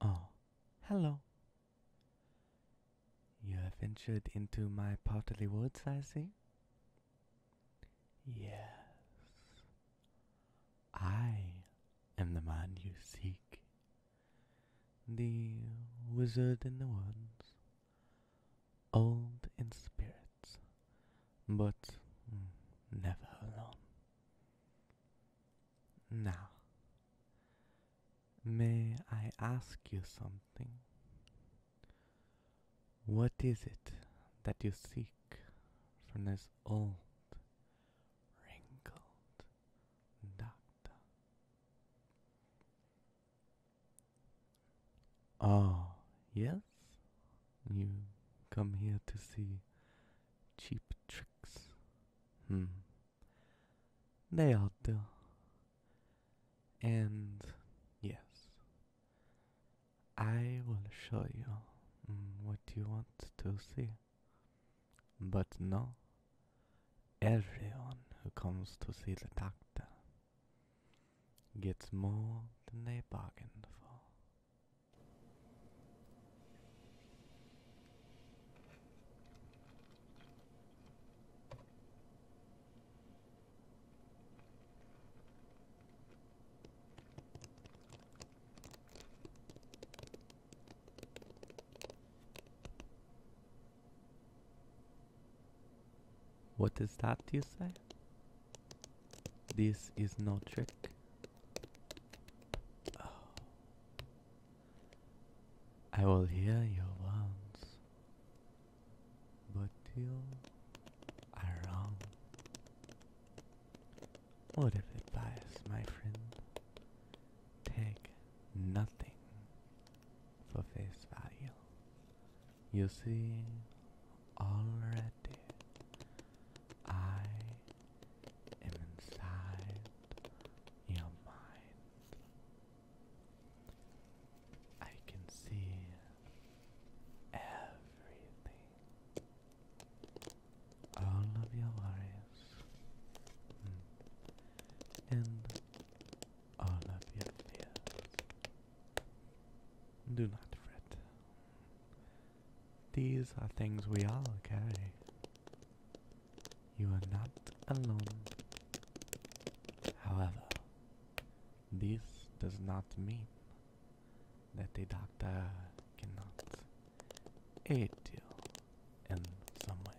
Oh, hello. You have ventured into my potterly woods, I see. Yes, I am the man you seek, the wizard in the woods, old in spirits, but mm, never alone. Now, may I ask you something? What is it that you seek from this old, wrinkled doctor? Ah, yes? You come here to see cheap tricks. hm? They all do. And yes, I will show you mm, what you want to see. But no, everyone who comes to see the doctor gets more than they bargained for. What is that you say? This is no trick. I will hear your words, but you are wrong. Word of advice, my friend. Take nothing for face value. You see, already I and inside your mind. I can see everything. All of your worries hmm. and all of your fears. Do not fret. These are things we all carry. You are not alone. However, this does not mean that a doctor cannot aid you in some ways.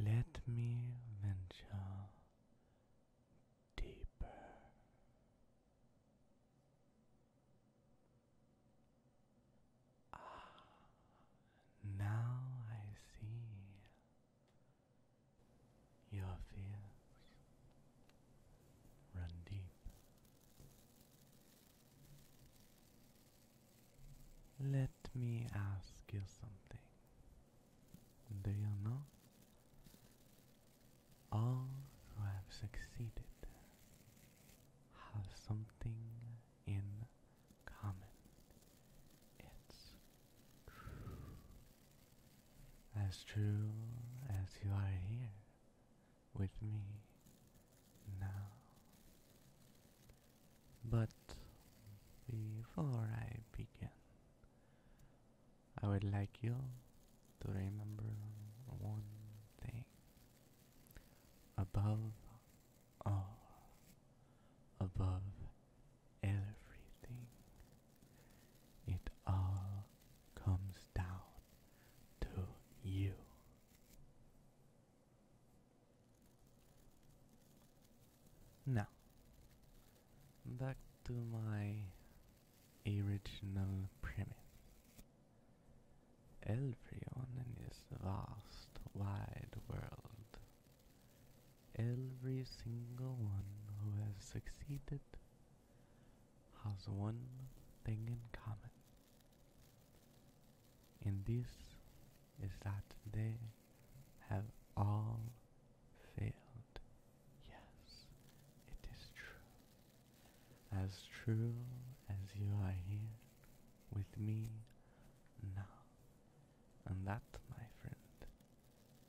Let me venture deeper. Ah, now I see your fears run deep. Let me ask you something. Do you know? All who have succeeded have something in common. It's true. As true as you are here with me now. But before I begin, I would like you to remember one thing. Above all above everything. It all comes down to you. Now, back to my original premise. Elfrion in this vast, wide world Every single one who has succeeded has one thing in common, and this is that they have all failed. Yes, it is true. As true as you are here with me now. And that, my friend,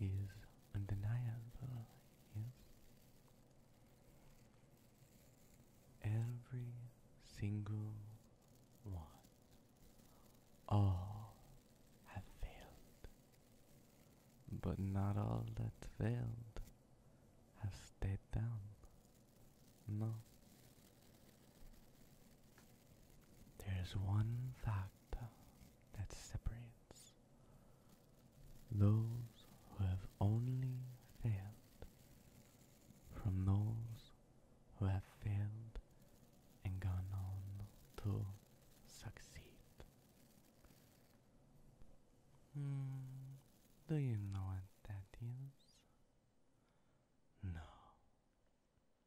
is undeniable, Every single one. All have failed. But not all that failed have stayed down. No. There is one factor that separates those who have only failed from those who have failed and gone on to succeed. Hmm, do you know what that is? No.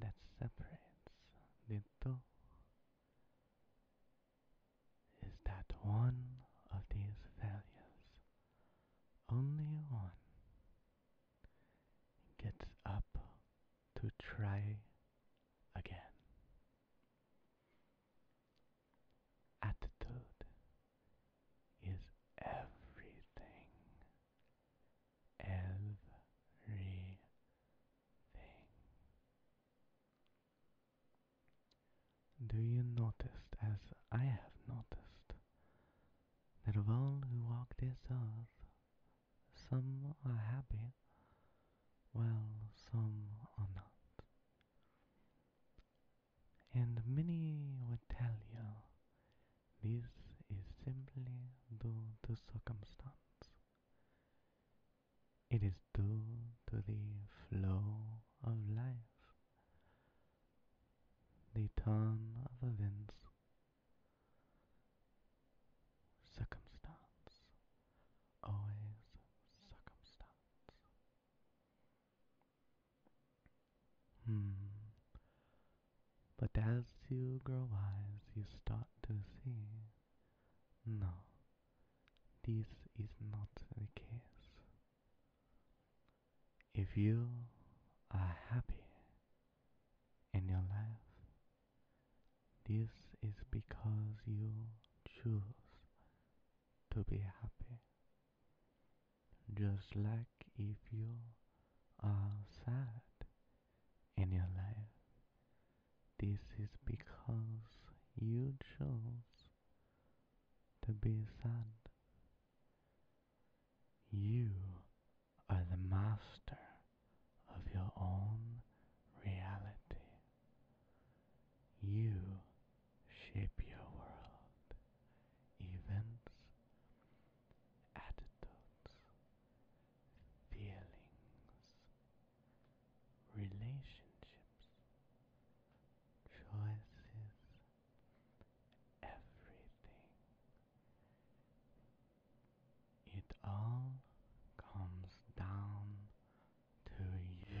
that separates the two is that one of these values, only one, gets up to try again. Attitude is everything everything. Do you notice, as I have noticed, that of all who walk this earth, some are happy, while some are not? And many would tell you this is simply due to circumstance. It is due to the flow of life, the turn of events, circumstance, always circumstance. Hmm. But as you grow wise, you start to see no, this is not the case. If you are happy in your life, this is because you choose to be happy. Just like if you are sad, in your life. This is because you chose to be sad. You are the master of your own reality. You shape your world, events, attitudes, feelings, relationships, choices, everything. It all comes down to you.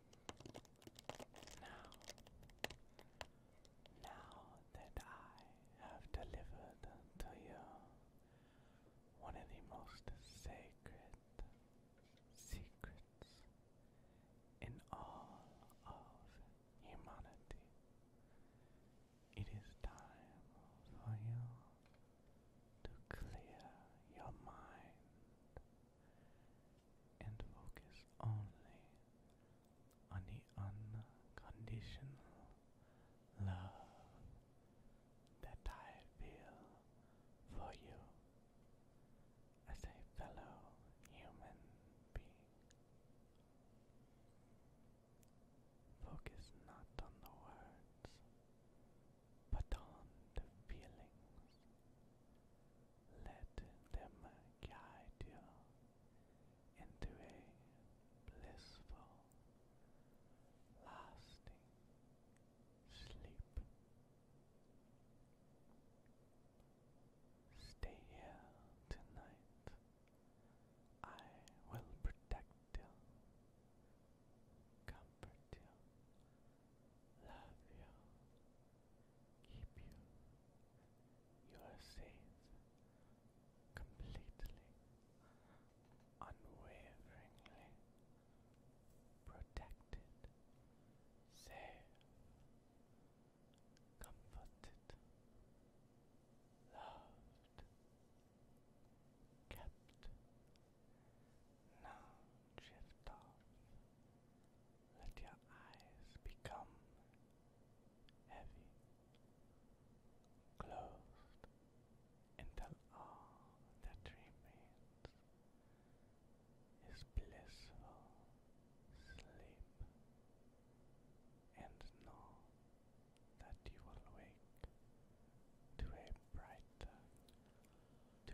Now, now that I have delivered to you one of the most sacred secrets in all of humanity, it is time for you to clear your mind and focus only on the unconditional love that I feel for you as a fellow human being. Focus not on the words, but on the feelings. Let them guide you into a blissful, lasting sleep. Stay here tonight. I will protect you, comfort you, love you, keep you you are safe, completely, unwaveringly protected, safe, comforted, loved, kept. Now drift off let your eyes become heavy, closed until all that remains is blissful sleep, and know that you will wake to a brighter to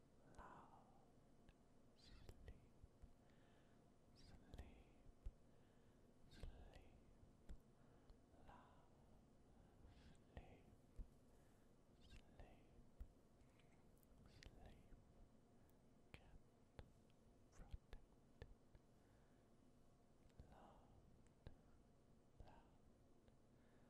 loud sleep, sleep, sleep, loud sleep, sleep, sleep, get protected, loud, loud. Sleep,